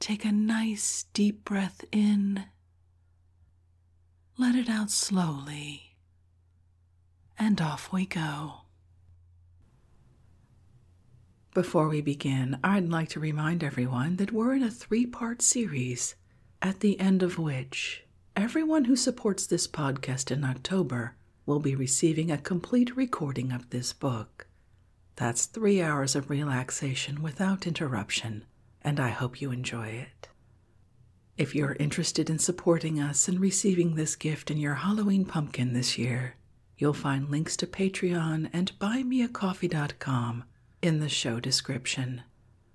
Take a nice deep breath in. Let it out slowly. And off we go. Before we begin, I'd like to remind everyone that we're in a three part series, at the end of which everyone who supports this podcast in October will be receiving a complete recording of this book. That's three hours of relaxation without interruption, and I hope you enjoy it. If you're interested in supporting us and receiving this gift in your Halloween pumpkin this year, you'll find links to Patreon and buymeacoffee.com in the show description.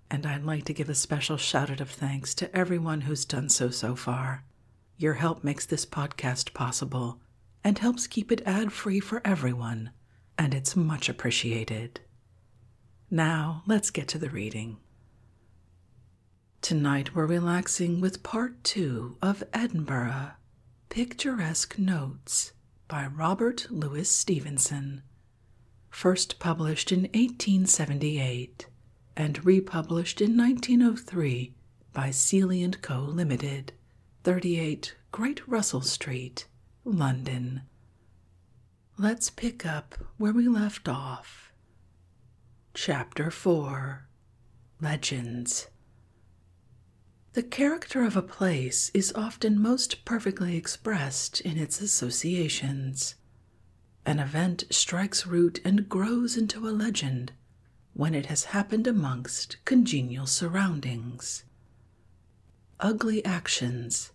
And I'd like to give a special shout out of thanks to everyone who's done so so far. Your help makes this podcast possible and helps keep it ad free for everyone and it's much appreciated. Now, let's get to the reading. Tonight we're relaxing with part two of Edinburgh Picturesque Notes by Robert Louis Stevenson, first published in 1878 and republished in 1903 by Seeley & Co. Limited, 38 Great Russell Street, London. Let's pick up where we left off. Chapter 4 Legends The character of a place is often most perfectly expressed in its associations. An event strikes root and grows into a legend when it has happened amongst congenial surroundings. Ugly actions,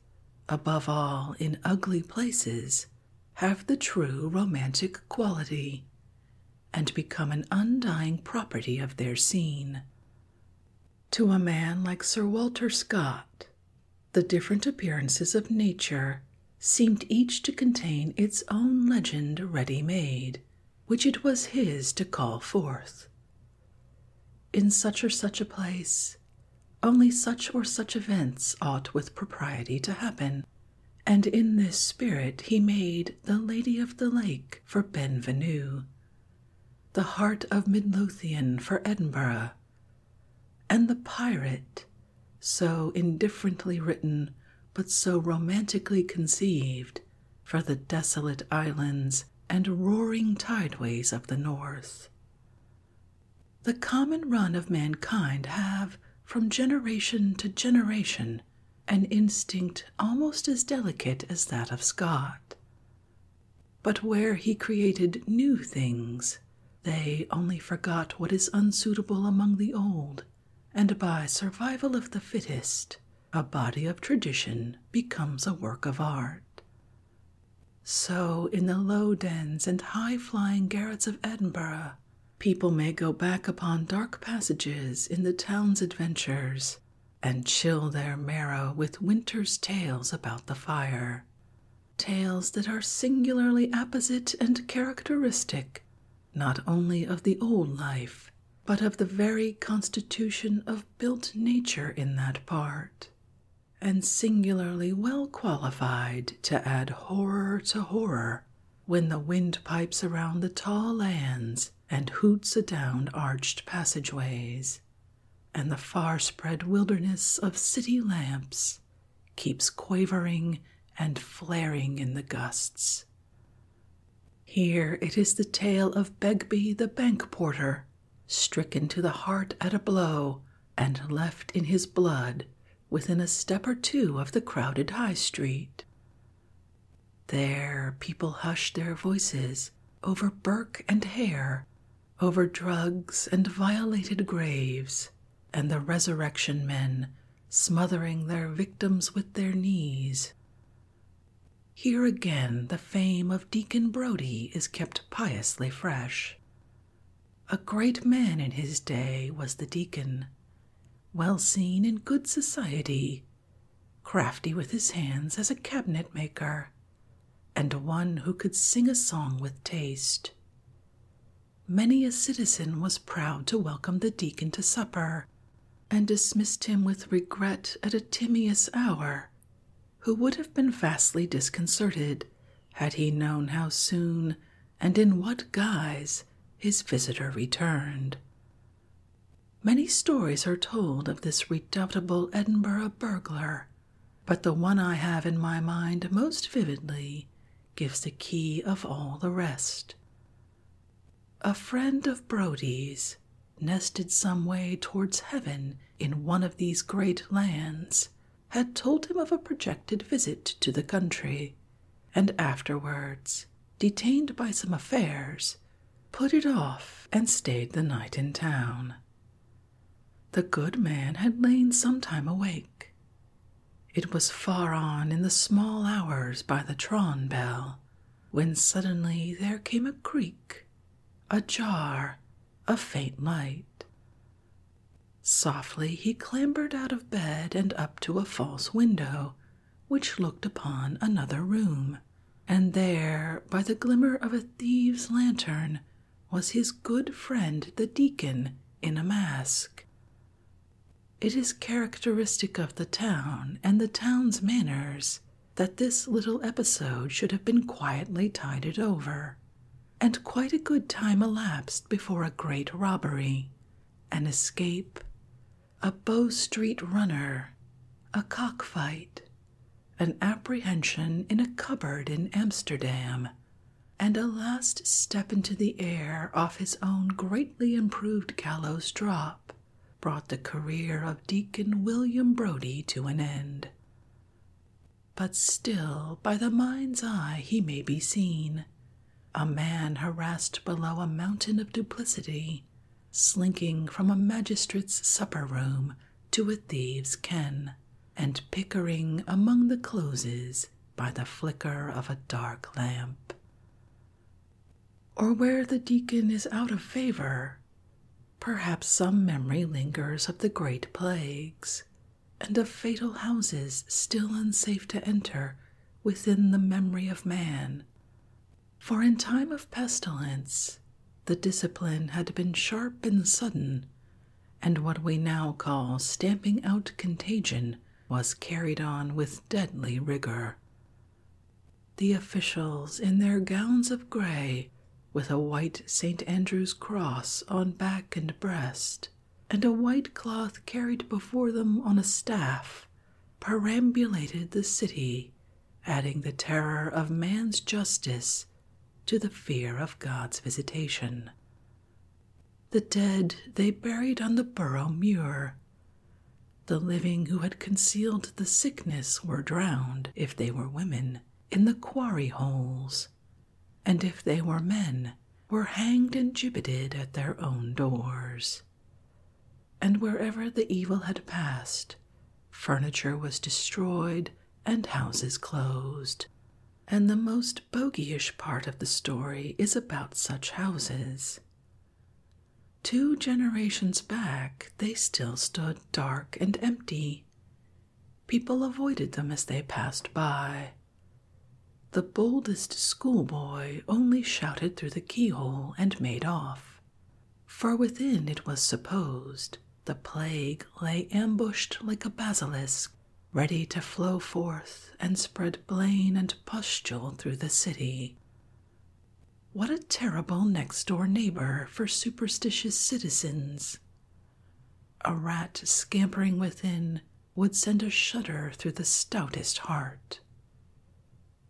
above all in ugly places, have the true romantic quality and become an undying property of their scene. To a man like Sir Walter Scott, the different appearances of nature seemed each to contain its own legend ready made, which it was his to call forth, in such or such a place, only such or such events ought with propriety to happen. And in this spirit he made the Lady of the Lake for Benvenue, the Heart of Midlothian for Edinburgh, and the Pirate, so indifferently written but so romantically conceived, for the desolate islands and roaring tideways of the north. The common run of mankind have, from generation to generation, an instinct almost as delicate as that of Scott. But where he created new things, they only forgot what is unsuitable among the old, and by survival of the fittest a body of tradition becomes a work of art. So, in the low dens and high flying garrets of Edinburgh, people may go back upon dark passages in the town's adventures and chill their marrow with winter's tales about the fire. Tales that are singularly apposite and characteristic not only of the old life, but of the very constitution of built nature in that part, and singularly well qualified to add horror to horror when the wind pipes around the tall lands and hoots adown arched passageways, and the far spread wilderness of city lamps keeps quavering and flaring in the gusts. Here it is the tale of Begbie the bank porter stricken to the heart at a blow and left in his blood within a step or two of the crowded High Street. There, people hushed their voices over Burke and Hare, over drugs and violated graves, and the resurrection men smothering their victims with their knees, here again the fame of Deacon Brodie is kept piously fresh. A great man in his day was the deacon, well seen in good society, crafty with his hands as a cabinet maker, and one who could sing a song with taste. Many a citizen was proud to welcome the deacon to supper, and dismissed him with regret at a timorous hour who would have been vastly disconcerted had he known how soon and in what guise his visitor returned. Many stories are told of this redoubtable Edinburgh burglar, but the one I have in my mind most vividly gives the key of all the rest. A friend of Brodie's is, nested some way towards heaven in one of these great lands, had told him of a projected visit to the country, and afterwards, detained by some affairs, put it off and stayed the night in town. The good man had lain some time awake. It was far on in the small hours by the Tron bell when suddenly there came a creak a jar of faint light. Softly he clambered out of bed and up to a false window, which looked upon another room, and there, by the glimmer of a thieves' lantern, was his good friend the deacon in a mask. It is characteristic of the town and the town's manners that this little episode should have been quietly tided over, and quite a good time elapsed before a great robbery, an escape, a Bow Street runner, a cockfight, an apprehension in a cupboard in Amsterdam, and a last step into the air off his own greatly improved gallows drop brought the career of Deacon William Brodie to an end. But still, by the mind's eye, he may be seen, a man harassed below a mountain of duplicity, slinking from a magistrate's supper room to a thief's ken, and pickering among the closes by the flicker of a dark lamp. Or where the deacon is out of favor, Perhaps some memory lingers of the great plagues, and of fatal houses still unsafe to enter within the memory of man. For in time of pestilence, the discipline had been sharp and sudden, and what we now call stamping out contagion was carried on with deadly rigor. The officials, in their gowns of grey, with a white St. Andrew's cross on back and breast, and a white cloth carried before them on a staff, perambulated the city, adding the terror of man's justice to the fear of God's visitation. The dead they buried on the Borough Muir. The living who had concealed the sick sickness were drowned, if they were women, in the quarry holes, and if they were men, were hanged and gibbeted at their own doors. And wherever the evil had passed, furniture was destroyed and houses closed. And the most bogeyish part of the story is about such houses. Two generations back, they still stood dark and empty. People avoided them as they passed by. The boldest schoolboy only shouted through the keyhole and made off, for within it was supposed the plague lay ambushed like a basilisk, ready to flow forth and spread blain and pustule through the city. What a terrible next door neighbor for superstitious citizens! A rat scampering within would send a shudder through the stoutest heart.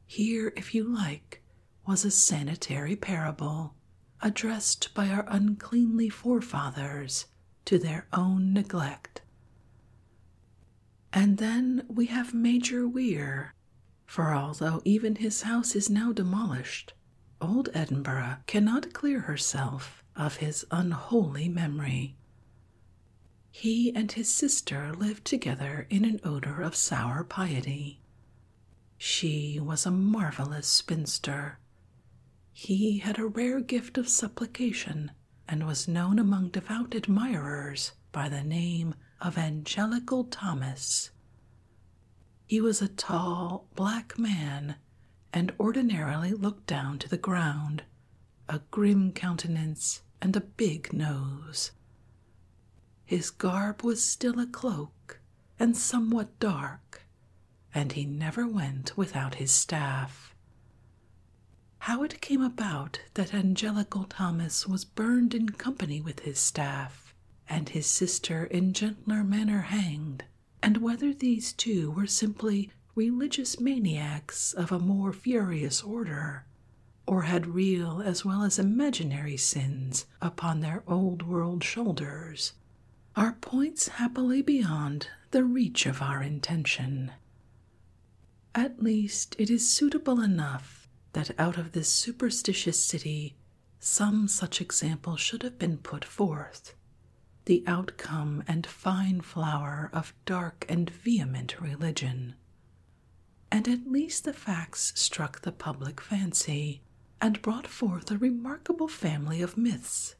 Here, if you like, was a sanitary parable addressed by our uncleanly forefathers to their own neglect. And then we have Major Weir for although even his house is now demolished, old Edinburgh cannot clear herself of his unholy memory. He and his sister lived together in an odor of sour piety. She was a marvelous spinster. He had a rare gift of supplication and was known among devout admirers by the name of Angelical Thomas, he was a tall, black man, and ordinarily looked down to the ground, a grim countenance and a big nose. His garb was still a cloak and somewhat dark, and he never went without his staff. How it came about that Angelical Thomas was burned in company with his staff and his sister in gentler manner hanged, and whether these two were simply religious maniacs of a more furious order, or had real as well as imaginary sins upon their old world shoulders, are points happily beyond the reach of our intention. At least it is suitable enough that out of this superstitious city some such example should have been put forth. The outcome and fine flower of dark and vehement religion. And at least the facts struck the public fancy and brought forth a remarkable family of myths.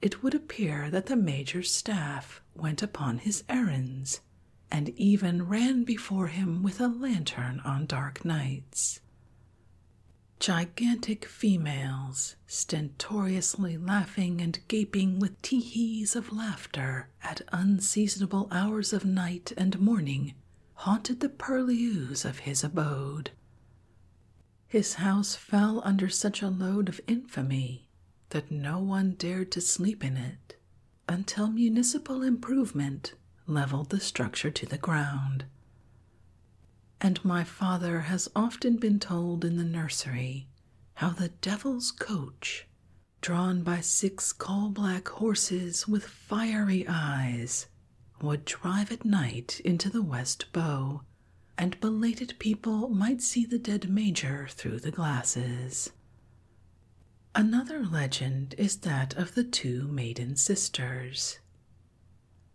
It would appear that the major's staff went upon his errands and even ran before him with a lantern on dark nights. Gigantic females, stentoriously laughing and gaping with teehees of laughter at unseasonable hours of night and morning, haunted the purlieus of his abode. His house fell under such a load of infamy that no one dared to sleep in it until municipal improvement leveled the structure to the ground. And my father has often been told in the nursery how the devil's coach, drawn by six coal black horses with fiery eyes, would drive at night into the West Bow, and belated people might see the dead major through the glasses. Another legend is that of the two maiden sisters.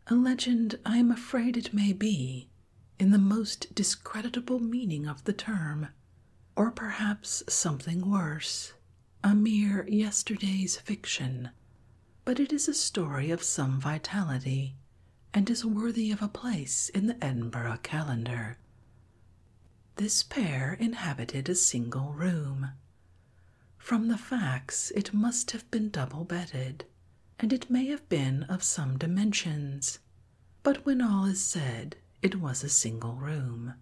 A legend I am afraid it may be, in the most discreditable meaning of the term, or perhaps something worse, a mere yesterday's fiction, but it is a story of some vitality and is worthy of a place in the Edinburgh calendar. This pair inhabited a single room, from the facts, it must have been double bedded, and it may have been of some dimensions, but when all is said, it was a single room.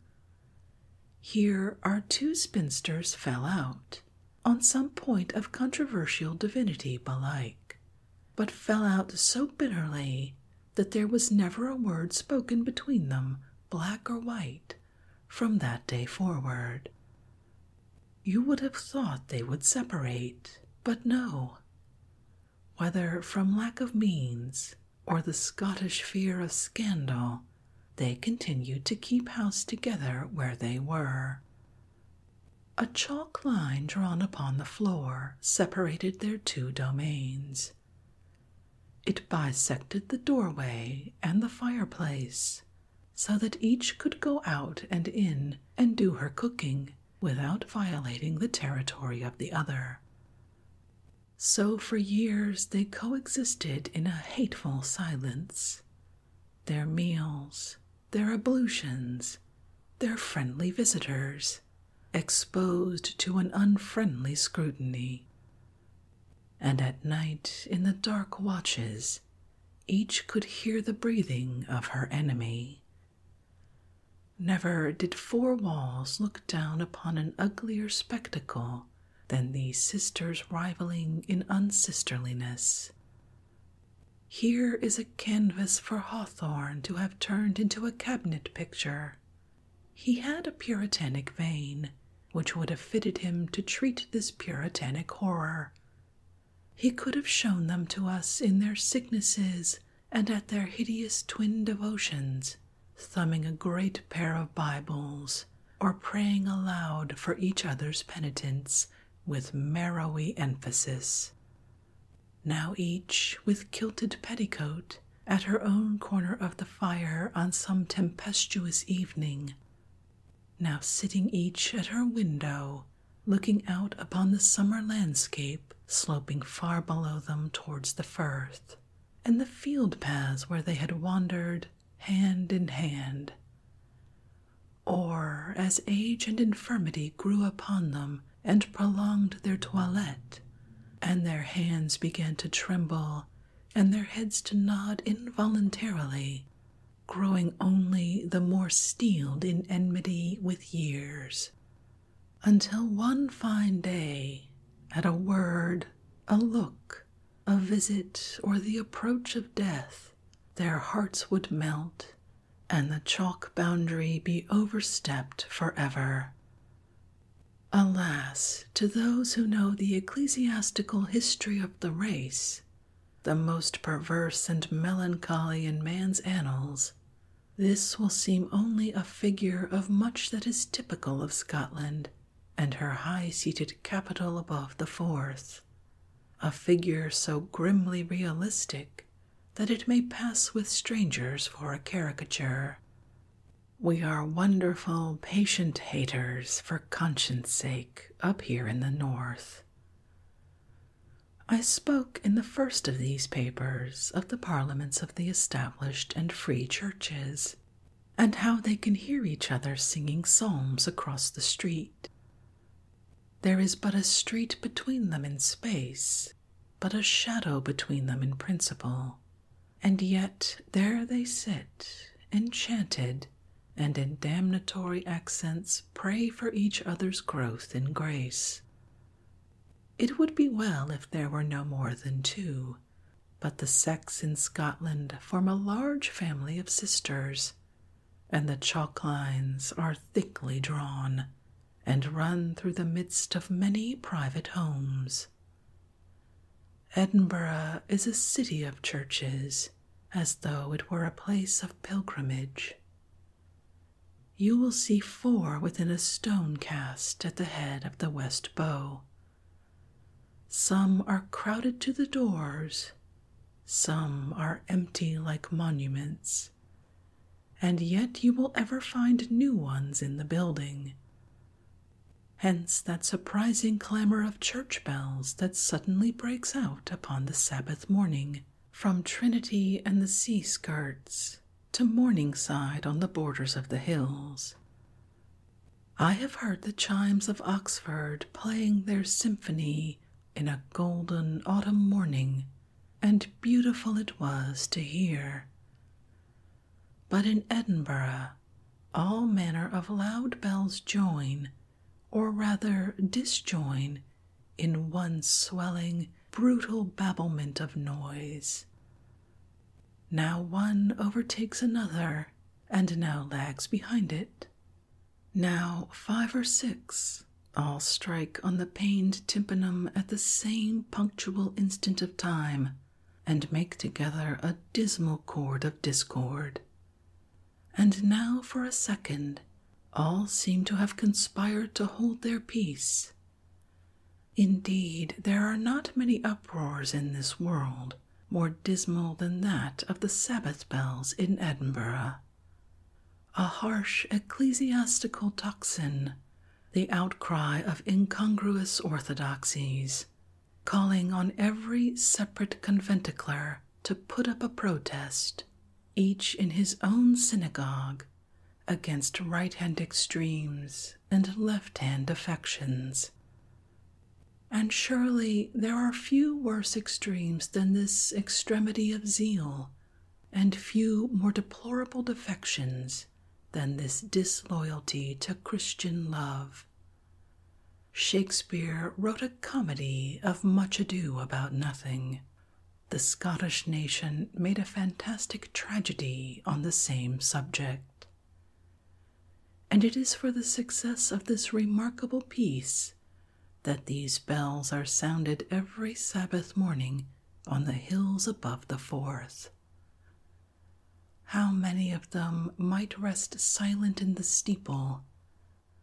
Here our two spinsters fell out, on some point of controversial divinity belike, but fell out so bitterly that there was never a word spoken between them, black or white, from that day forward. You would have thought they would separate, but no. Whether from lack of means or the Scottish fear of scandal, they continued to keep house together where they were. A chalk line drawn upon the floor separated their two domains. It bisected the doorway and the fireplace so that each could go out and in and do her cooking without violating the territory of the other. So for years they coexisted in a hateful silence. Their meals, their ablutions, their friendly visitors, exposed to an unfriendly scrutiny, and at night in the dark watches each could hear the breathing of her enemy. Never did four walls look down upon an uglier spectacle than these sisters rivaling in unsisterliness. Here is a canvas for Hawthorne to have turned into a cabinet picture. He had a puritanic vein which would have fitted him to treat this puritanic horror. He could have shown them to us in their sicknesses and at their hideous twin devotions, thumbing a great pair of Bibles or praying aloud for each other's penitence with marrowy emphasis. Now each, with kilted petticoat, at her own corner of the fire on some tempestuous evening, now sitting each at her window, looking out upon the summer landscape sloping far below them towards the firth, and the field paths where they had wandered hand in hand. Or, as age and infirmity grew upon them and prolonged their toilette, and their hands began to tremble and their heads to nod involuntarily, growing only the more steeled in enmity with years. Until one fine day, at a word, a look, a visit, or the approach of death, their hearts would melt and the chalk boundary be overstepped forever. Alas, to those who know the ecclesiastical history of the race, the most perverse and melancholy in man's annals, this will seem only a figure of much that is typical of Scotland and her high seated capital above the Forth, a figure so grimly realistic that it may pass with strangers for a caricature. We are wonderful patient haters for conscience sake up here in the North. I spoke in the first of these papers of the parliaments of the established and free churches, and how they can hear each other singing psalms across the street. There is but a street between them in space, but a shadow between them in principle, and yet there they sit, enchanted, and in damnatory accents pray for each other's growth in grace. It would be well if there were no more than two, but the sex in Scotland form a large family of sisters, and the chalk lines are thickly drawn and run through the midst of many private homes. Edinburgh is a city of churches, as though it were a place of pilgrimage. You will see four within a stone cast at the head of the West Bow. Some are crowded to the doors, some are empty like monuments, and yet you will ever find new ones in the building, Hence that surprising clamor of church bells that suddenly breaks out upon the Sabbath morning from Trinity and the sea skirts to Morningside on the borders of the hills. I have heard the chimes of Oxford playing their symphony in a golden autumn morning, and beautiful it was to hear. But in Edinburgh all manner of loud bells join, or rather disjoin, in one swelling, brutal babblement of noise. Now one overtakes another, and now lags behind it. Now five or six all strike on the pained tympanum at the same punctual instant of time, and make together a dismal chord of discord. And now for a second, all seem to have conspired to hold their peace. Indeed, there are not many uproars in this world more dismal than that of the Sabbath bells in Edinburgh. A harsh ecclesiastical tocsin, the outcry of incongruous orthodoxies, calling on every separate conventicular to put up a protest, each in his own synagogue, against right hand extremes and left hand affections. And surely there are few worse extremes than this extremity of zeal, and few more deplorable defections than this disloyalty to Christian love. Shakespeare wrote a comedy of much ado about nothing. The Scottish nation made a fantastic tragedy on the same subject. And it is for the success of this remarkable piece that these bells are sounded every Sabbath morning on the hills above the Forth. How many of them might rest silent in the steeple?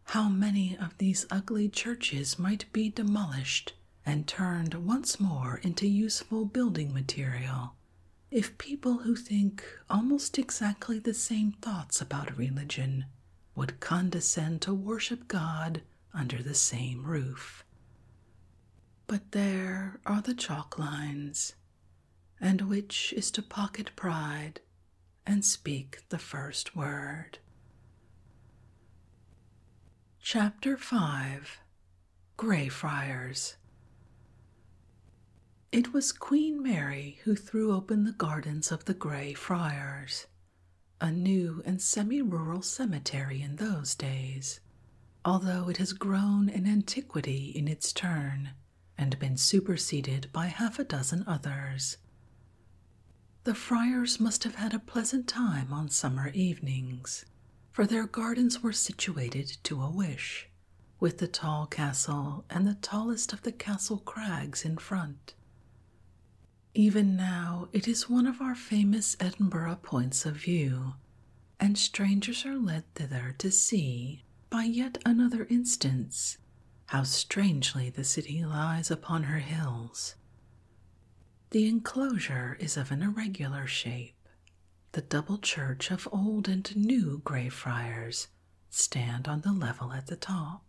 How many of these ugly churches might be demolished and turned once more into useful building material if people who think almost exactly the same thoughts about religion would condescend to worship God under the same roof? But there are the chalk lines, and which is to pocket pride and speak the first word. Chapter 5 Friars. It was Queen Mary who threw open the gardens of the Grey Friars, a new and semi rural cemetery in those days, although it has grown an antiquity in its turn and been superseded by half a dozen others. The friars must have had a pleasant time on summer evenings, for their gardens were situated to a wish, with the tall castle and the tallest of the castle crags in front. Even now, it is one of our famous Edinburgh points of view, and strangers are led thither to see, by yet another instance, how strangely the city lies upon her hills. The enclosure is of an irregular shape. The double church of old and new Greyfriars stand on the level at the top.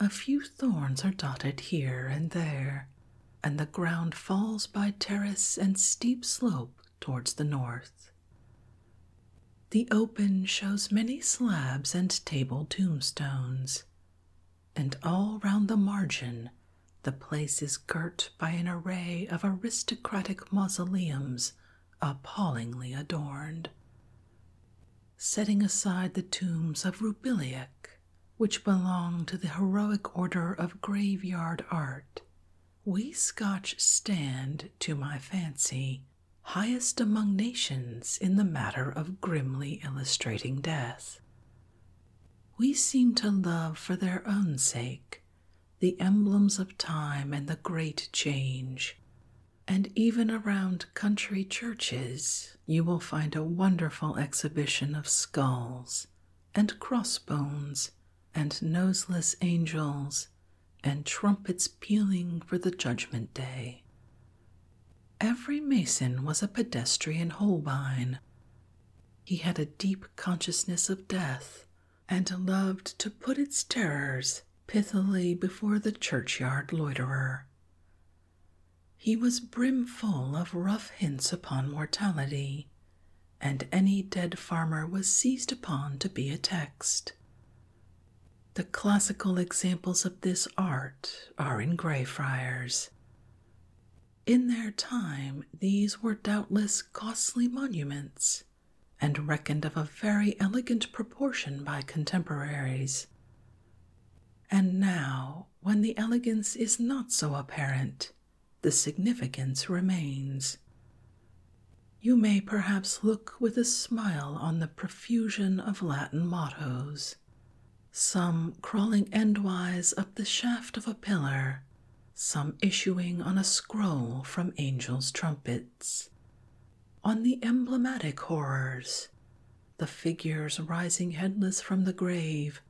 A few thorns are dotted here and there, and the ground falls by terrace and steep slope towards the north. The open shows many slabs and table tombstones, and all round the margin the place is girt by an array of aristocratic mausoleums appallingly adorned. Setting aside the tombs of Rubiliac, which belong to the heroic order of graveyard art, we Scotch stand, to my fancy, highest among nations in the matter of grimly illustrating death. We seem to love for their own sake the emblems of time and the great change. And even around country churches, you will find a wonderful exhibition of skulls and crossbones and noseless angels and trumpets pealing for the Judgment Day. Every mason was a pedestrian Holbein. He had a deep consciousness of death and loved to put its terrors pithily before the churchyard loiterer. He was brimful of rough hints upon mortality, and any dead farmer was seized upon to be a text. The classical examples of this art are in Greyfriars. In their time, these were doubtless costly monuments, and reckoned of a very elegant proportion by contemporaries. And now, when the elegance is not so apparent, the significance remains, you may perhaps look with a smile on the profusion of Latin mottos, some crawling endwise up the shaft of a pillar, some issuing on a scroll from angels' trumpets, on the emblematic horrors, the figures rising headless from the grave,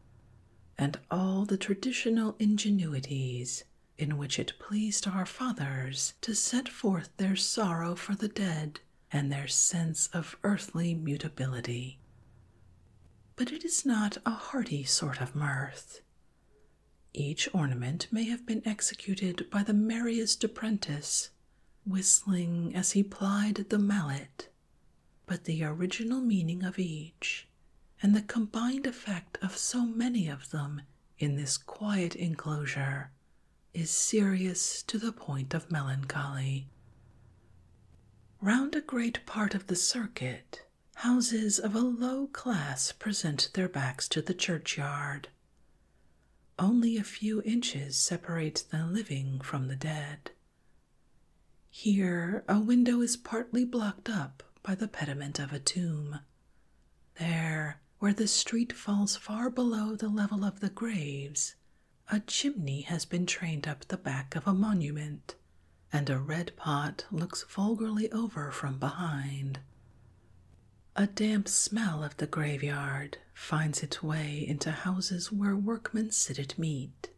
and all the traditional ingenuities in which it pleased our fathers to set forth their sorrow for the dead and their sense of earthly mutability. But it is not a hearty sort of mirth. Each ornament may have been executed by the merriest apprentice, whistling as he plied the mallet, but the original meaning of each and the combined effect of so many of them in this quiet enclosure is serious to the point of melancholy. Round a great part of the circuit, houses of a low class present their backs to the churchyard. Only a few inches separate the living from the dead. Here, a window is partly blocked up by the pediment of a tomb. There, where the street falls far below the level of the graves, a chimney has been trained up the back of a monument, and a red pot looks vulgarly over from behind. A damp smell of the graveyard finds its way into houses where workmen sit at meat.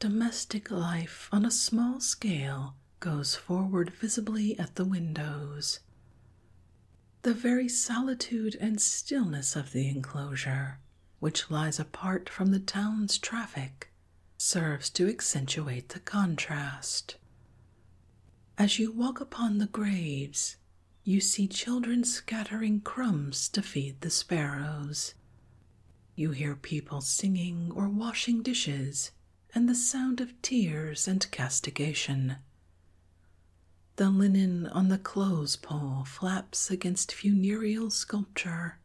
Domestic life on a small scale goes forward visibly at the windows. The very solitude and stillness of the enclosure, which lies apart from the town's traffic, serves to accentuate the contrast. As you walk upon the graves, you see children scattering crumbs to feed the sparrows. You hear people singing or washing dishes and the sound of tears and castigation. The linen on the clothes pole flaps against funereal sculpture,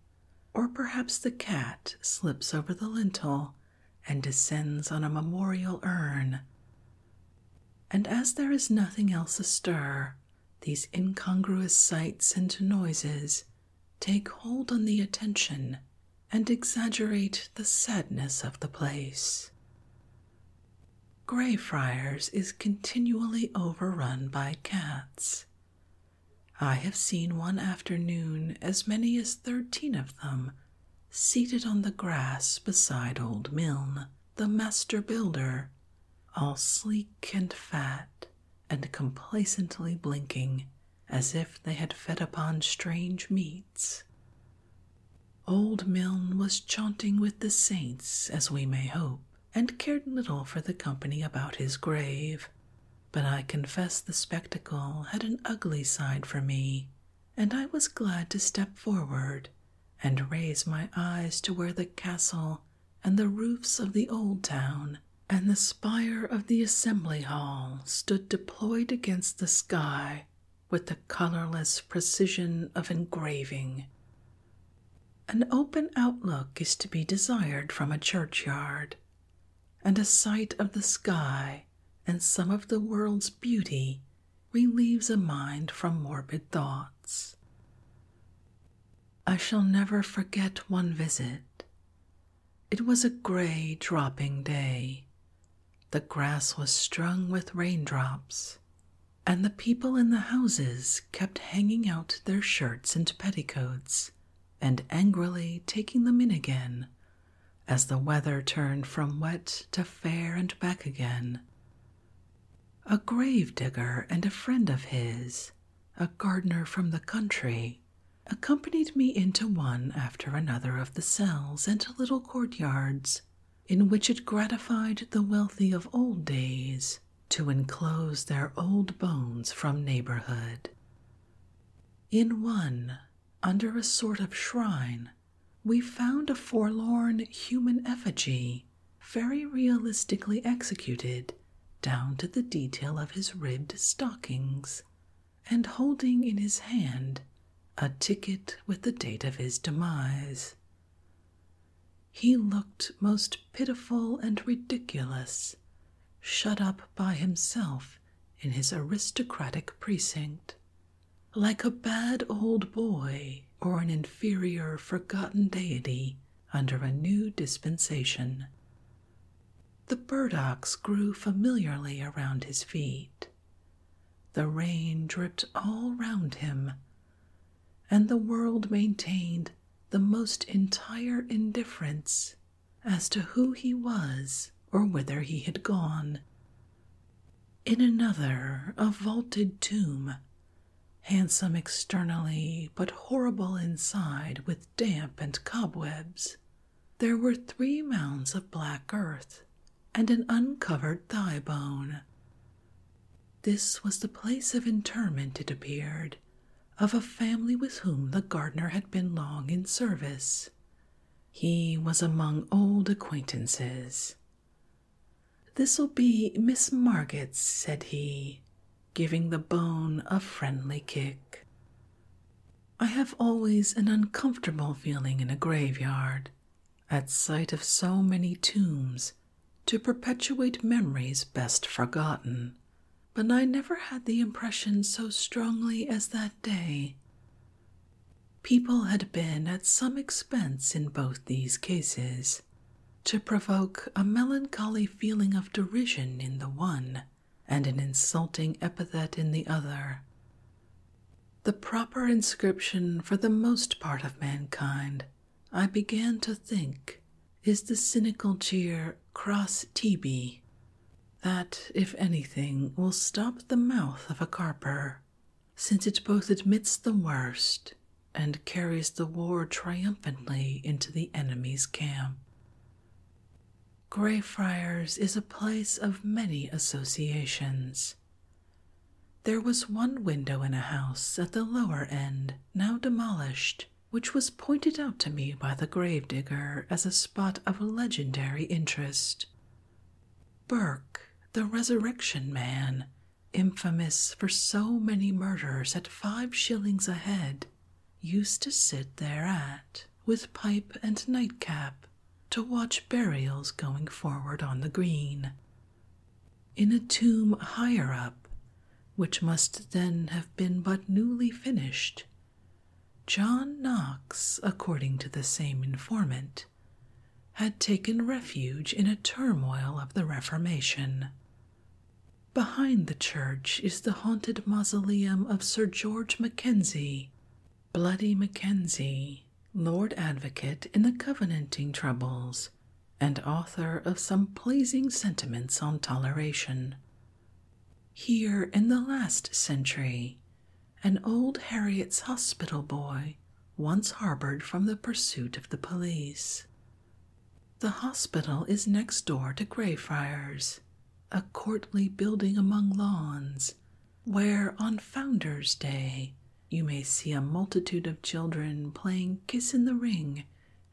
or perhaps the cat slips over the lintel and descends on a memorial urn. And as there is nothing else astir, these incongruous sights and noises take hold on the attention and exaggerate the sadness of the place. Greyfriars is continually overrun by cats. I have seen one afternoon as many as thirteen of them seated on the grass beside old Milne, the master builder, all sleek and fat and complacently blinking as if they had fed upon strange meats, Old Milne was chaunting with the saints, as we may hope, and cared little for the company about his grave. But I confess the spectacle had an ugly side for me, and I was glad to step forward and raise my eyes to where the castle and the roofs of the old town and the spire of the assembly hall stood deployed against the sky with the colorless precision of engraving. An open outlook is to be desired from a churchyard, and a sight of the sky and some of the world's beauty relieves a mind from morbid thoughts. I shall never forget one visit. It was a gray, dropping day, the grass was strung with raindrops, and the people in the houses kept hanging out their shirts and petticoats and angrily taking them in again as the weather turned from wet to fair and back again. A grave digger and a friend of his, a gardener from the country, accompanied me into one after another of the cells and little courtyards in which it gratified the wealthy of old days to enclose their old bones from neighborhood. In one, under a sort of shrine, we found a forlorn human effigy, very realistically executed, down to the detail of his ribbed stockings, and holding in his hand a ticket with the date of his demise. He looked most pitiful and ridiculous, shut up by himself in his aristocratic precinct, like a bad old boy or an inferior forgotten deity under a new dispensation. The burdocks grew familiarly around his feet, the rain dripped all round him, and the world maintained the most entire indifference as to who he was or whither he had gone. In another, a vaulted tomb, handsome externally but horrible inside with damp and cobwebs, there were three mounds of black earth and an uncovered thigh bone. This was the place of interment, it appeared, of a family with whom the gardener had been long in service. He was among old acquaintances. This'll be Miss Marget's, said he, giving the bone a friendly kick. I have always an uncomfortable feeling in a graveyard at sight of so many tombs to perpetuate memories best forgotten, but I never had the impression so strongly as that day. People had been at some expense in both these cases to provoke a melancholy feeling of derision in the one and an insulting epithet in the other, the proper inscription for the most part of mankind, I began to think, is the cynical cheer Cross TB, that, if anything, will stop the mouth of a carper, since it both admits the worst and carries the war triumphantly into the enemy's camp. Greyfriars is a place of many associations, there was one window in a house at the lower end, now demolished, which was pointed out to me by the grave digger as a spot of legendary interest. Burke, the resurrection man, infamous for so many murders at five shillings a head, used to sit thereat with pipe and nightcap to watch burials going forward on the green. In a tomb higher up, which must then have been but newly finished, John Knox, according to the same informant, had taken refuge in a turmoil of the Reformation. Behind the church is the haunted mausoleum of Sir George Mackenzie, Bloody Mackenzie, Lord Advocate in the Covenanting Troubles, and author of some pleasing sentiments on toleration. Here in the last century, an old Harriet's hospital boy once harbored from the pursuit of the police. The hospital is next door to Greyfriars, a courtly building among lawns where on Founders' Day you may see a multitude of children playing kiss in the ring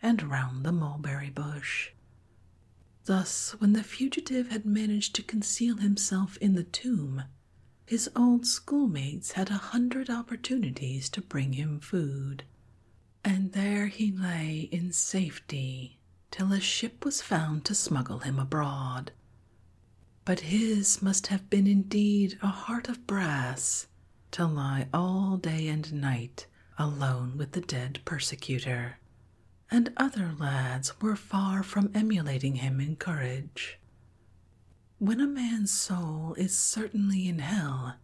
and round the mulberry bush. Thus, when the fugitive had managed to conceal himself in the tomb, his old schoolmates had a hundred opportunities to bring him food, and there he lay in safety till a ship was found to smuggle him abroad. But his must have been indeed a heart of brass to lie all day and night alone with the dead persecutor, and other lads were far from emulating him in courage. When a man's soul is certainly in hell,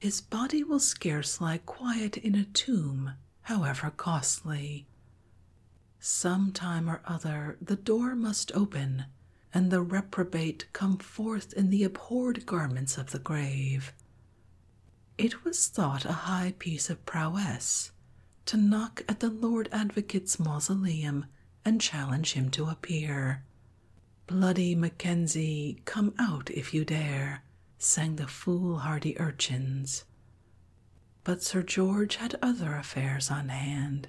his body will scarce lie quiet in a tomb, however costly. Some time or other the door must open, and the reprobate come forth in the abhorred garments of the grave. It was thought a high piece of prowess to knock at the Lord Advocate's mausoleum and challenge him to appear. Bloody Mackenzie, come out if you dare, sang the foolhardy urchins, but Sir George had other affairs on hand,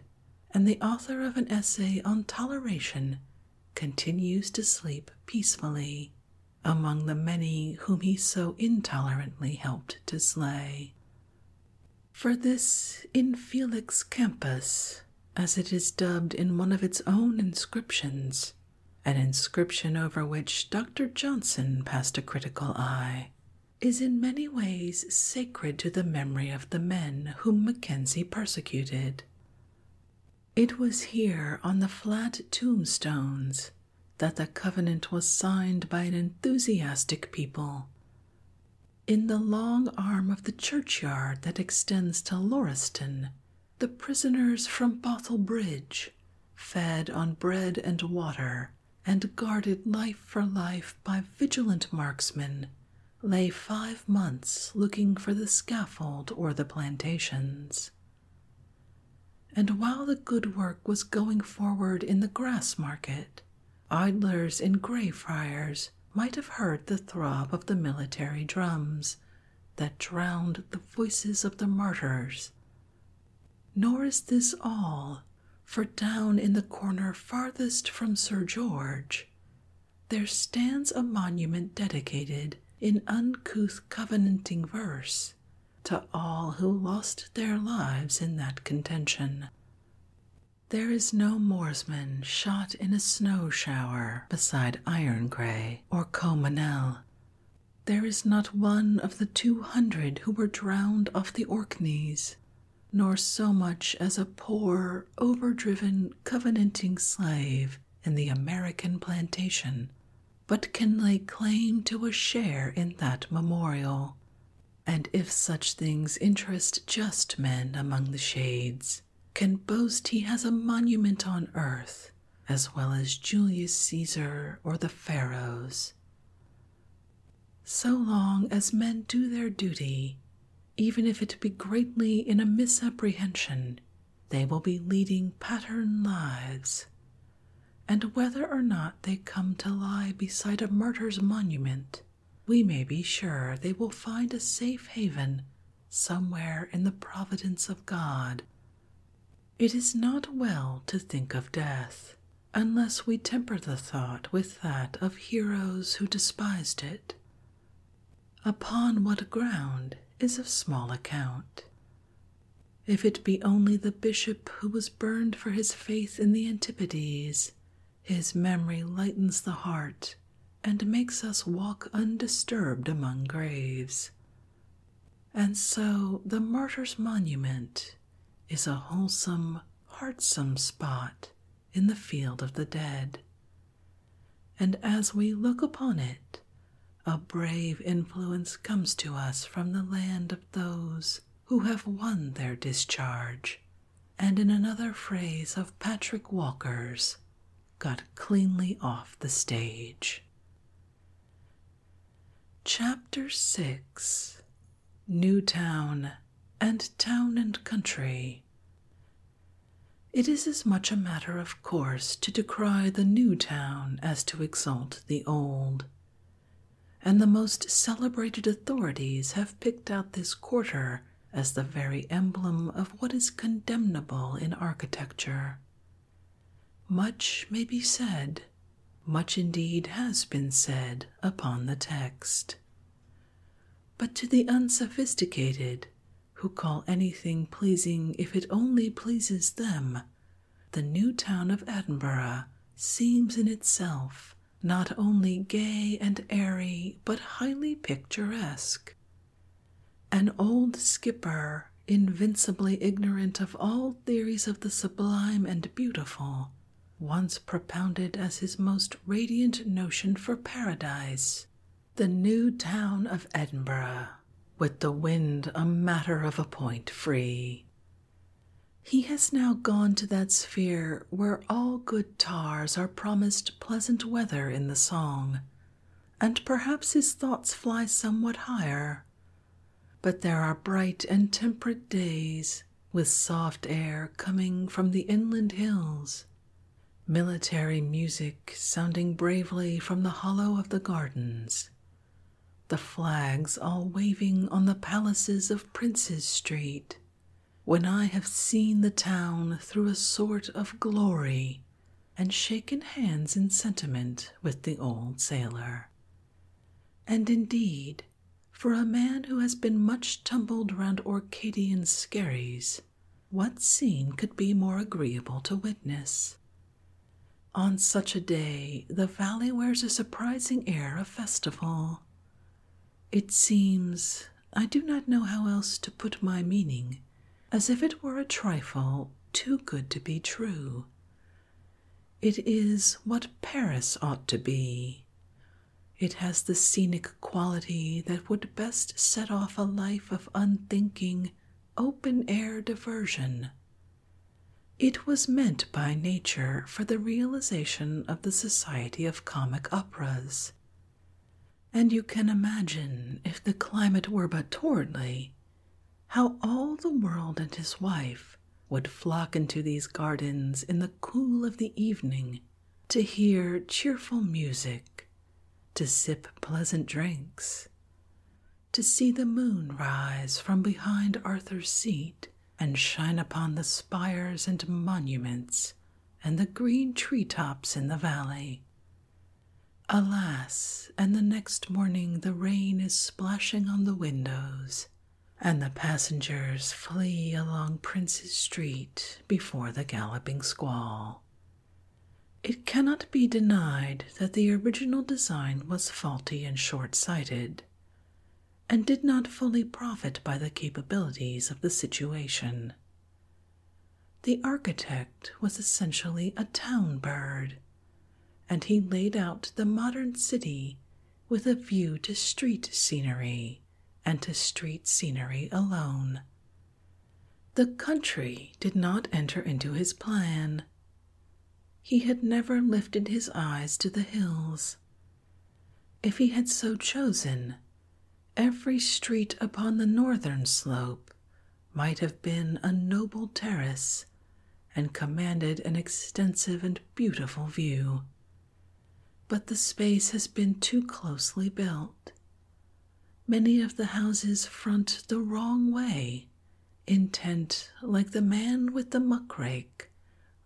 and the author of an essay on toleration continues to sleep peacefully among the many whom he so intolerantly helped to slay. For this Infelix Campus, as it is dubbed in one of its own inscriptions, an inscription over which Dr. Johnson passed a critical eye, is in many ways sacred to the memory of the men whom Mackenzie persecuted. It was here on the flat tombstones that the covenant was signed by an enthusiastic people. In the long arm of the churchyard that extends to Lauriston, the prisoners from Bothell Bridge, fed on bread and water, and guarded life for life by vigilant marksmen, lay five months looking for the scaffold or the plantations. And while the good work was going forward in the grass market, idlers in grey friars might have heard the throb of the military drums that drowned the voices of the martyrs. Nor is this all for down in the corner farthest from Sir George, there stands a monument dedicated in uncouth covenanting verse to all who lost their lives in that contention. There is no Moorsman shot in a snow shower beside Iron Grey or Comanel. There is not one of the two hundred who were drowned off the Orkneys nor so much as a poor, overdriven, covenanting slave in the American plantation, but can lay claim to a share in that memorial. And if such things interest just men among the shades, can boast he has a monument on earth, as well as Julius Caesar or the Pharaohs. So long as men do their duty, even if it be greatly in a misapprehension, they will be leading pattern lives. And whether or not they come to lie beside a martyr's monument, we may be sure they will find a safe haven somewhere in the providence of God. It is not well to think of death unless we temper the thought with that of heroes who despised it. Upon what ground is of small account. If it be only the bishop who was burned for his faith in the Antipodes, his memory lightens the heart and makes us walk undisturbed among graves. And so the martyr's monument is a wholesome, heartsome spot in the field of the dead. And as we look upon it, a brave influence comes to us from the land of those who have won their discharge, and in another phrase of Patrick Walker's, got cleanly off the stage. Chapter 6 New Town and town and country. It is as much a matter of course to decry the new town as to exalt the old, and the most celebrated authorities have picked out this quarter as the very emblem of what is condemnable in architecture. Much may be said, much indeed has been said upon the text. But to the unsophisticated, who call anything pleasing if it only pleases them, the new town of Edinburgh seems in itself not only gay and airy, but highly picturesque. An old skipper, invincibly ignorant of all theories of the sublime and beautiful, once propounded as his most radiant notion for paradise, the new town of Edinburgh, with the wind a matter of a point free. He has now gone to that sphere where all good tars are promised pleasant weather in the song, and perhaps his thoughts fly somewhat higher. But there are bright and temperate days with soft air coming from the inland hills, military music sounding bravely from the hollow of the gardens, the flags all waving on the palaces of Prince's Street, when I have seen the town through a sort of glory and shaken hands in sentiment with the old sailor. And indeed, for a man who has been much tumbled round Orcadian skerries, what scene could be more agreeable to witness? On such a day, the valley wears a surprising air of festival. It seems, I do not know how else to put my meaning, as if it were a trifle too good to be true. It is what Paris ought to be, it has the scenic quality that would best set off a life of unthinking, open air diversion. It was meant by nature for the realization of the society of comic operas. And you can imagine, if the climate were but towardly, how all the world and his wife would flock into these gardens in the cool of the evening to hear cheerful music, to sip pleasant drinks, to see the moon rise from behind Arthur's seat and shine upon the spires and monuments and the green tree tops in the valley. Alas, and the next morning the rain is splashing on the windows and the passengers flee along Prince's Street before the galloping squall. It cannot be denied that the original design was faulty and short sighted, and did not fully profit by the capabilities of the situation. The architect was essentially a town bird, and he laid out the modern city with a view to street scenery and to street scenery alone. The country did not enter into his plan. He had never lifted his eyes to the hills. If he had so chosen, every street upon the northern slope might have been a noble terrace and commanded an extensive and beautiful view. But the space has been too closely built. Many of the houses front the wrong way, intent, like the man with the muck rake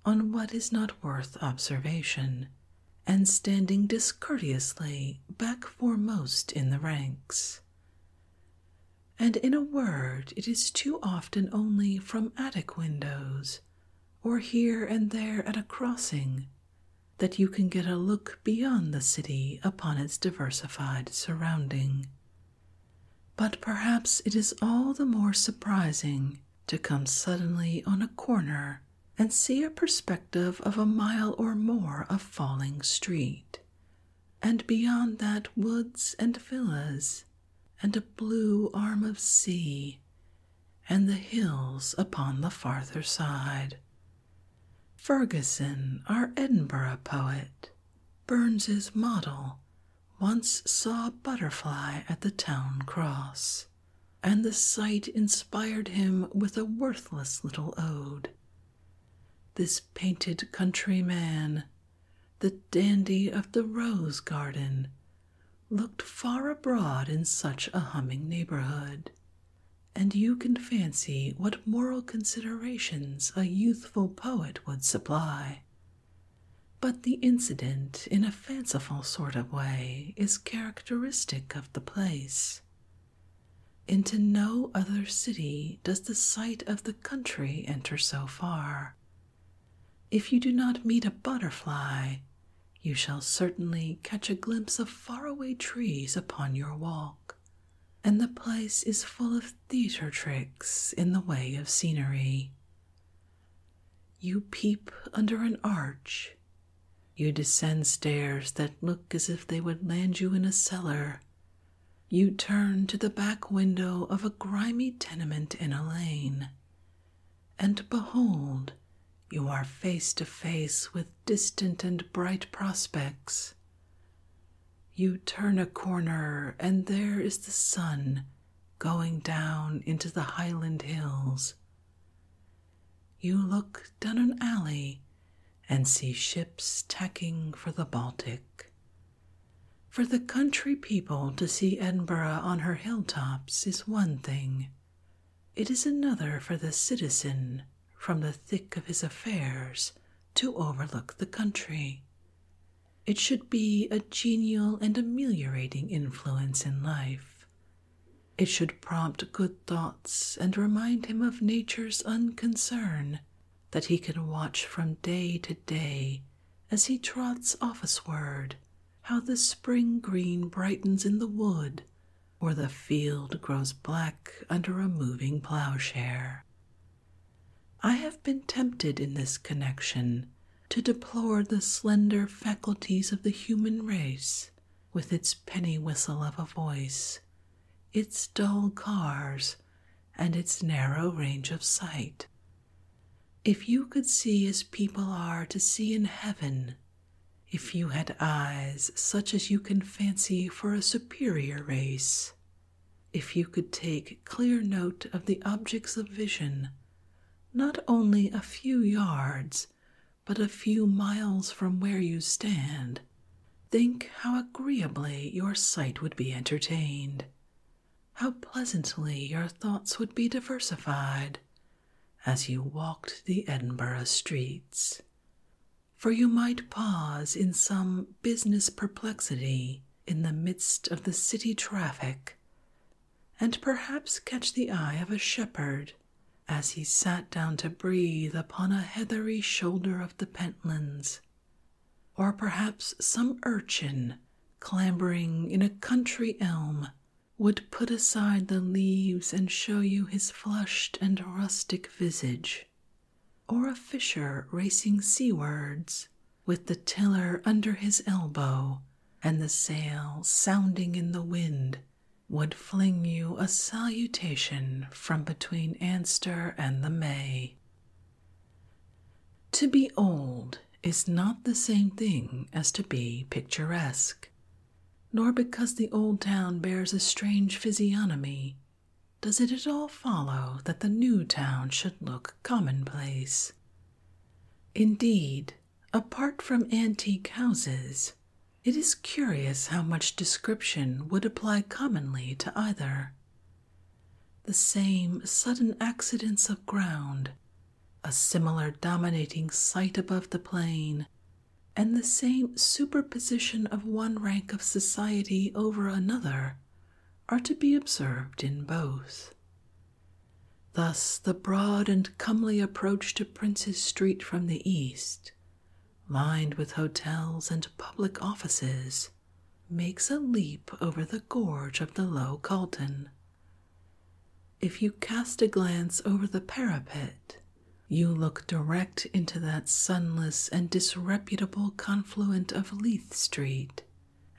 on what is not worth observation, and standing discourteously back foremost in the ranks. And in a word, it is too often only from attic windows or here and there at a crossing, that you can get a look beyond the city upon its diversified surrounding. But perhaps it is all the more surprising to come suddenly on a corner and see a perspective of a mile or more of falling street, and beyond that woods and villas, and a blue arm of sea, and the hills upon the farther side. Ferguson, our Edinburgh poet, Burns's model, once saw a butterfly at the town cross, and the sight inspired him with a worthless little ode. This painted countryman, the dandy of the rose garden, looked far abroad in such a humming neighborhood, and you can fancy what moral considerations a youthful poet would supply. But the incident, in a fanciful sort of way, is characteristic of the place. Into no other city does the sight of the country enter so far, if you do not meet a butterfly, you shall certainly catch a glimpse of faraway trees upon your walk, and the place is full of theatre tricks in the way of scenery. You peep under an arch. You descend stairs that look as if they would land you in a cellar. You turn to the back window of a grimy tenement in a lane, and behold, you are face to face with distant and bright prospects. You turn a corner, and there is the sun going down into the highland hills. You look down an alley and see ships tacking for the Baltic. For the country people to see Edinburgh on her hilltops is one thing, it is another for the citizen, from the thick of his affairs, to overlook the country. It should be a genial and ameliorating influence in life. It should prompt good thoughts and remind him of nature's unconcern that he can watch from day to day as he trots officeward how the spring green brightens in the wood, or the field grows black under a moving plowshare. I have been tempted in this connection to deplore the slender faculties of the human race with its penny whistle of a voice, its dull cars, and its narrow range of sight. If you could see as people are to see in heaven, if you had eyes such as you can fancy for a superior race, if you could take clear note of the objects of vision, not only a few yards, but a few miles from where you stand, think how agreeably your sight would be entertained, how pleasantly your thoughts would be diversified, as you walked the Edinburgh streets, for you might pause in some business perplexity in the midst of the city traffic, and perhaps catch the eye of a shepherd as he sat down to breathe upon a heathery shoulder of the Pentlands, or perhaps some urchin clambering in a country elm would put aside the leaves and show you his flushed and rustic visage, or a fisher racing seawards with the tiller under his elbow and the sail sounding in the wind would fling you a salutation from between Anster and the May. To be old is not the same thing as to be picturesque nor because the old town bears a strange physiognomy, does it at all follow that the new town should look commonplace. Indeed, apart from antique houses, it is curious how much description would apply commonly to either. The same sudden accidents of ground a similar dominating sight above the plain, and the same superposition of one rank of society over another are to be observed in both. Thus, the broad and comely approach to Prince's Street from the east, lined with hotels and public offices, makes a leap over the gorge of the low Calton if you cast a glance over the parapet, you look direct into that sunless and disreputable confluent of Leith Street,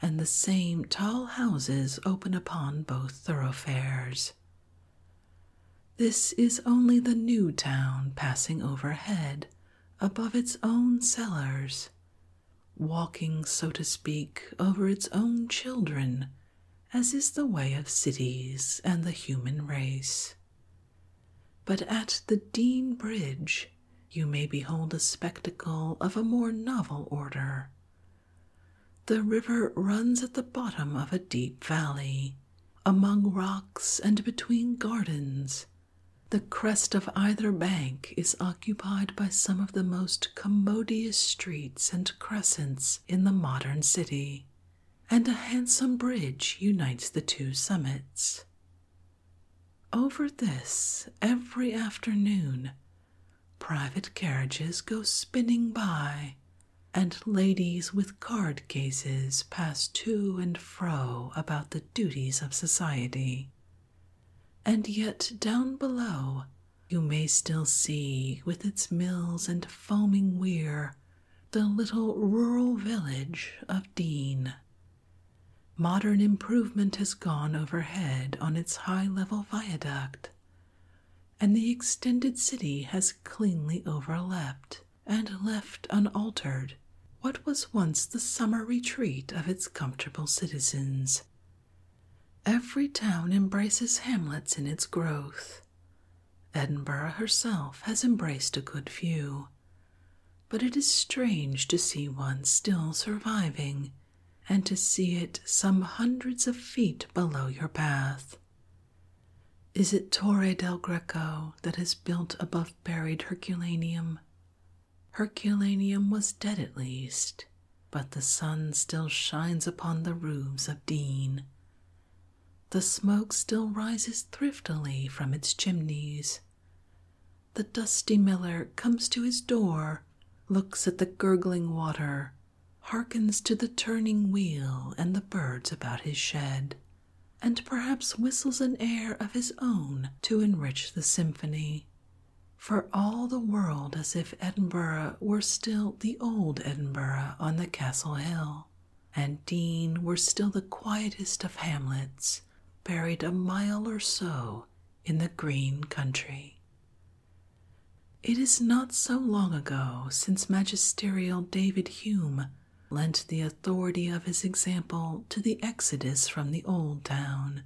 and the same tall houses open upon both thoroughfares. This is only the new town passing overhead above its own cellars, walking, so to speak, over its own children as is the way of cities and the human race. But at the Dean Bridge, you may behold a spectacle of a more novel order. The river runs at the bottom of a deep valley, among rocks and between gardens. The crest of either bank is occupied by some of the most commodious streets and crescents in the modern city, and a handsome bridge unites the two summits. Over this, every afternoon, private carriages go spinning by, and ladies with card cases pass to and fro about the duties of society. And yet, down below, you may still see, with its mills and foaming weir, the little rural village of Dean. Modern improvement has gone overhead on its high level viaduct, and the extended city has cleanly overlapped and left unaltered what was once the summer retreat of its comfortable citizens Every town embraces hamlets in its growth. Edinburgh herself has embraced a good few, but it is strange to see one still surviving and to see it some hundreds of feet below your path. Is it Torre del Greco that is built above buried Herculaneum? Herculaneum was dead at least, but the sun still shines upon the roofs of Dean. The smoke still rises thriftily from its chimneys. The dusty miller comes to his door, looks at the gurgling water, hearkens to the turning wheel and the birds about his shed, and perhaps whistles an air of his own to enrich the symphony, for all the world as if Edinburgh were still the old Edinburgh on the Castle Hill, and Dean were still the quietest of hamlets, buried a mile or so in the green country. It is not so long ago since magisterial David Hume lent the authority of his example to the exodus from the old town,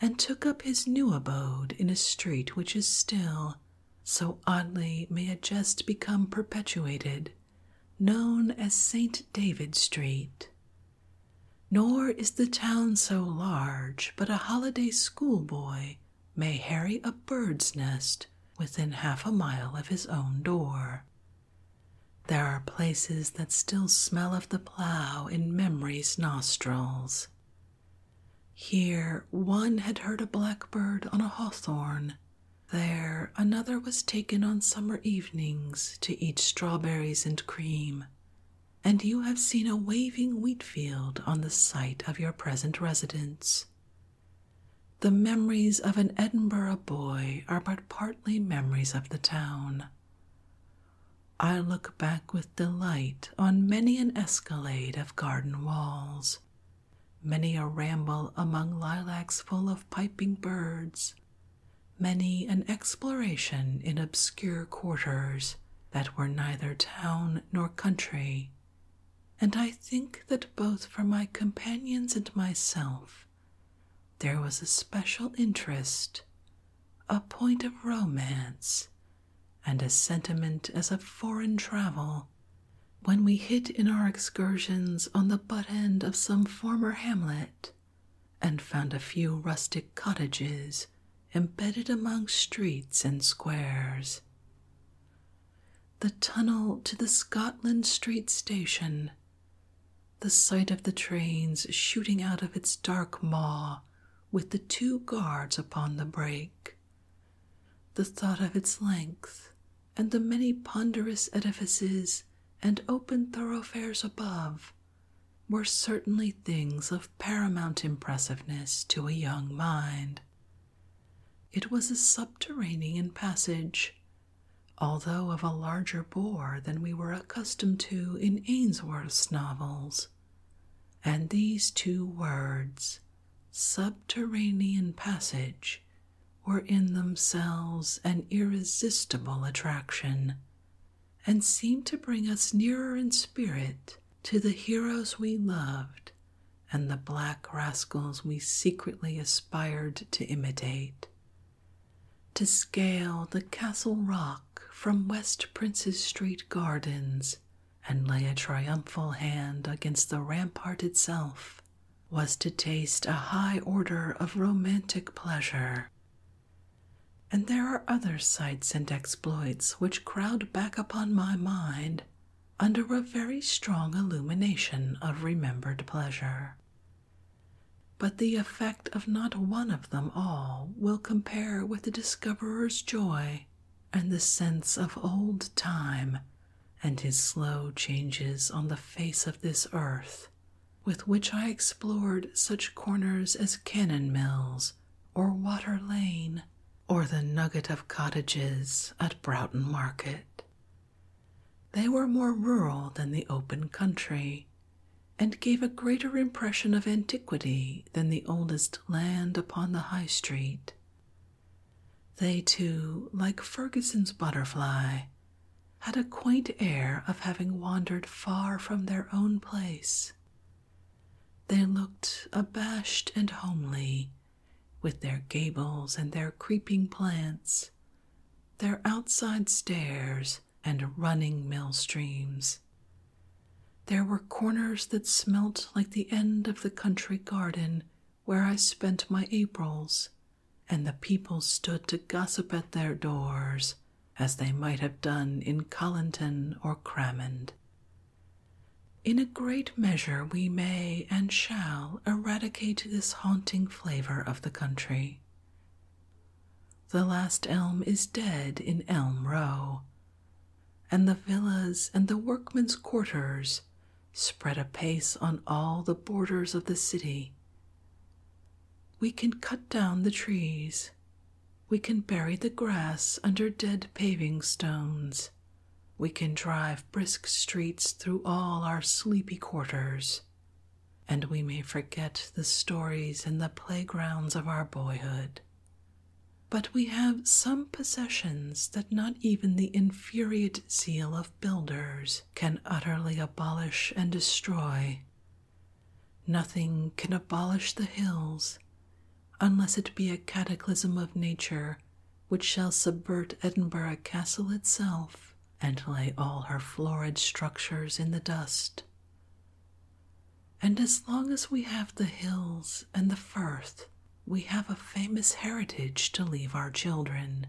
and took up his new abode in a street which is still, so oddly may a jest become perpetuated, known as St. David Street. Nor is the town so large, but a holiday schoolboy may harry a bird's nest within half a mile of his own door. There are places that still smell of the plough in memory's nostrils, here one had heard a blackbird on a hawthorn, there another was taken on summer evenings to eat strawberries and cream, and you have seen a waving wheat field on the site of your present residence. The memories of an Edinburgh boy are but partly memories of the town. I look back with delight on many an escalade of garden walls. Many a ramble among lilacs full of piping birds, many an exploration in obscure quarters that were neither town nor country, and I think that both for my companions and myself there was a special interest, a point of romance and a sentiment as of foreign travel when we hit in our excursions on the butt end of some former hamlet and found a few rustic cottages embedded among streets and squares. The tunnel to the Scotland Street station, the sight of the trains shooting out of its dark maw with the two guards upon the brake, the thought of its length, and the many ponderous edifices and open thoroughfares above, were certainly things of paramount impressiveness to a young mind. It was a subterranean passage, although of a larger bore than we were accustomed to in Ainsworth's novels, and these two words, subterranean passage were in themselves an irresistible attraction and seemed to bring us nearer in spirit to the heroes we loved and the black rascals we secretly aspired to imitate. To scale the Castle Rock from West Prince's Street Gardens and lay a triumphal hand against the rampart itself, was to taste a high order of romantic pleasure. And there are other sights and exploits which crowd back upon my mind under a very strong illumination of remembered pleasure. But the effect of not one of them all will compare with the discoverer's joy and the sense of old time and his slow changes on the face of this earth, with which I explored such corners as Cannon Mills or Water Lane or the nugget of cottages at Broughton Market. They were more rural than the open country, and gave a greater impression of antiquity than the oldest land upon the High Street, they too, like Ferguson's butterfly, had a quaint air of having wandered far from their own place. They looked abashed and homely, with their gables and their creeping plants, their outside stairs and running mill streams. There were corners that smelt like the end of the country garden where I spent my Aprils, and the people stood to gossip at their doors, as they might have done in Collinton or Crammond. In a great measure, we may and shall eradicate this haunting flavor of the country. The last elm is dead in Elm Row, and the villas and the workmen's quarters spread apace on all the borders of the city. We can cut down the trees. We can bury the grass under dead paving stones. We can drive brisk streets through all our sleepy quarters. And we may forget the stories and the playgrounds of our boyhood, but we have some possessions that not even the infuriate zeal of builders can utterly abolish and destroy. Nothing can abolish the hills unless it be a cataclysm of nature which shall subvert Edinburgh Castle itself and lay all her florid structures in the dust. And as long as we have the hills and the firth we have a famous heritage to leave our children.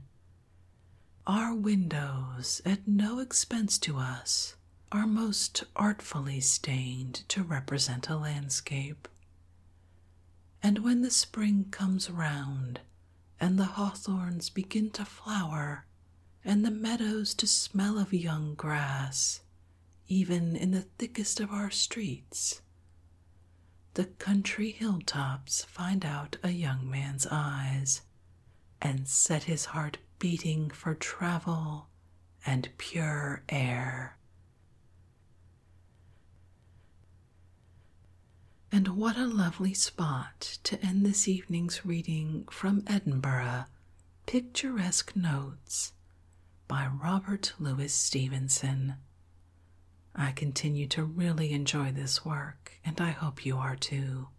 Our windows, at no expense to us, are most artfully stained to represent a landscape. And when the spring comes round, and the hawthorns begin to flower, and the meadows to smell of young grass, even in the thickest of our streets, the country hilltops find out a young man's eyes and set his heart beating for travel and pure air. And what a lovely spot to end this evening's reading from Edinburgh Picturesque Notes by Robert Louis Stevenson I continue to really enjoy this work, and I hope you are too.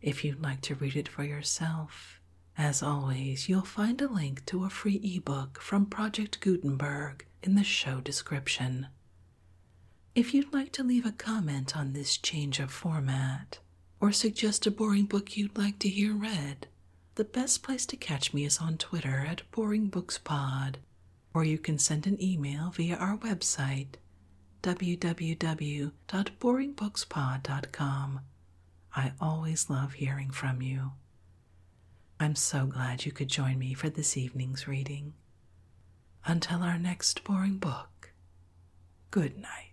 If you'd like to read it for yourself, as always, you'll find a link to a free ebook from Project Gutenberg in the show description. If you'd like to leave a comment on this change of format, or suggest a boring book you'd like to hear read, the best place to catch me is on Twitter at Boring Books or you can send an email via our website www.boringbookspod.com. I always love hearing from you. I'm so glad you could join me for this evening's reading. Until our next boring book, good night.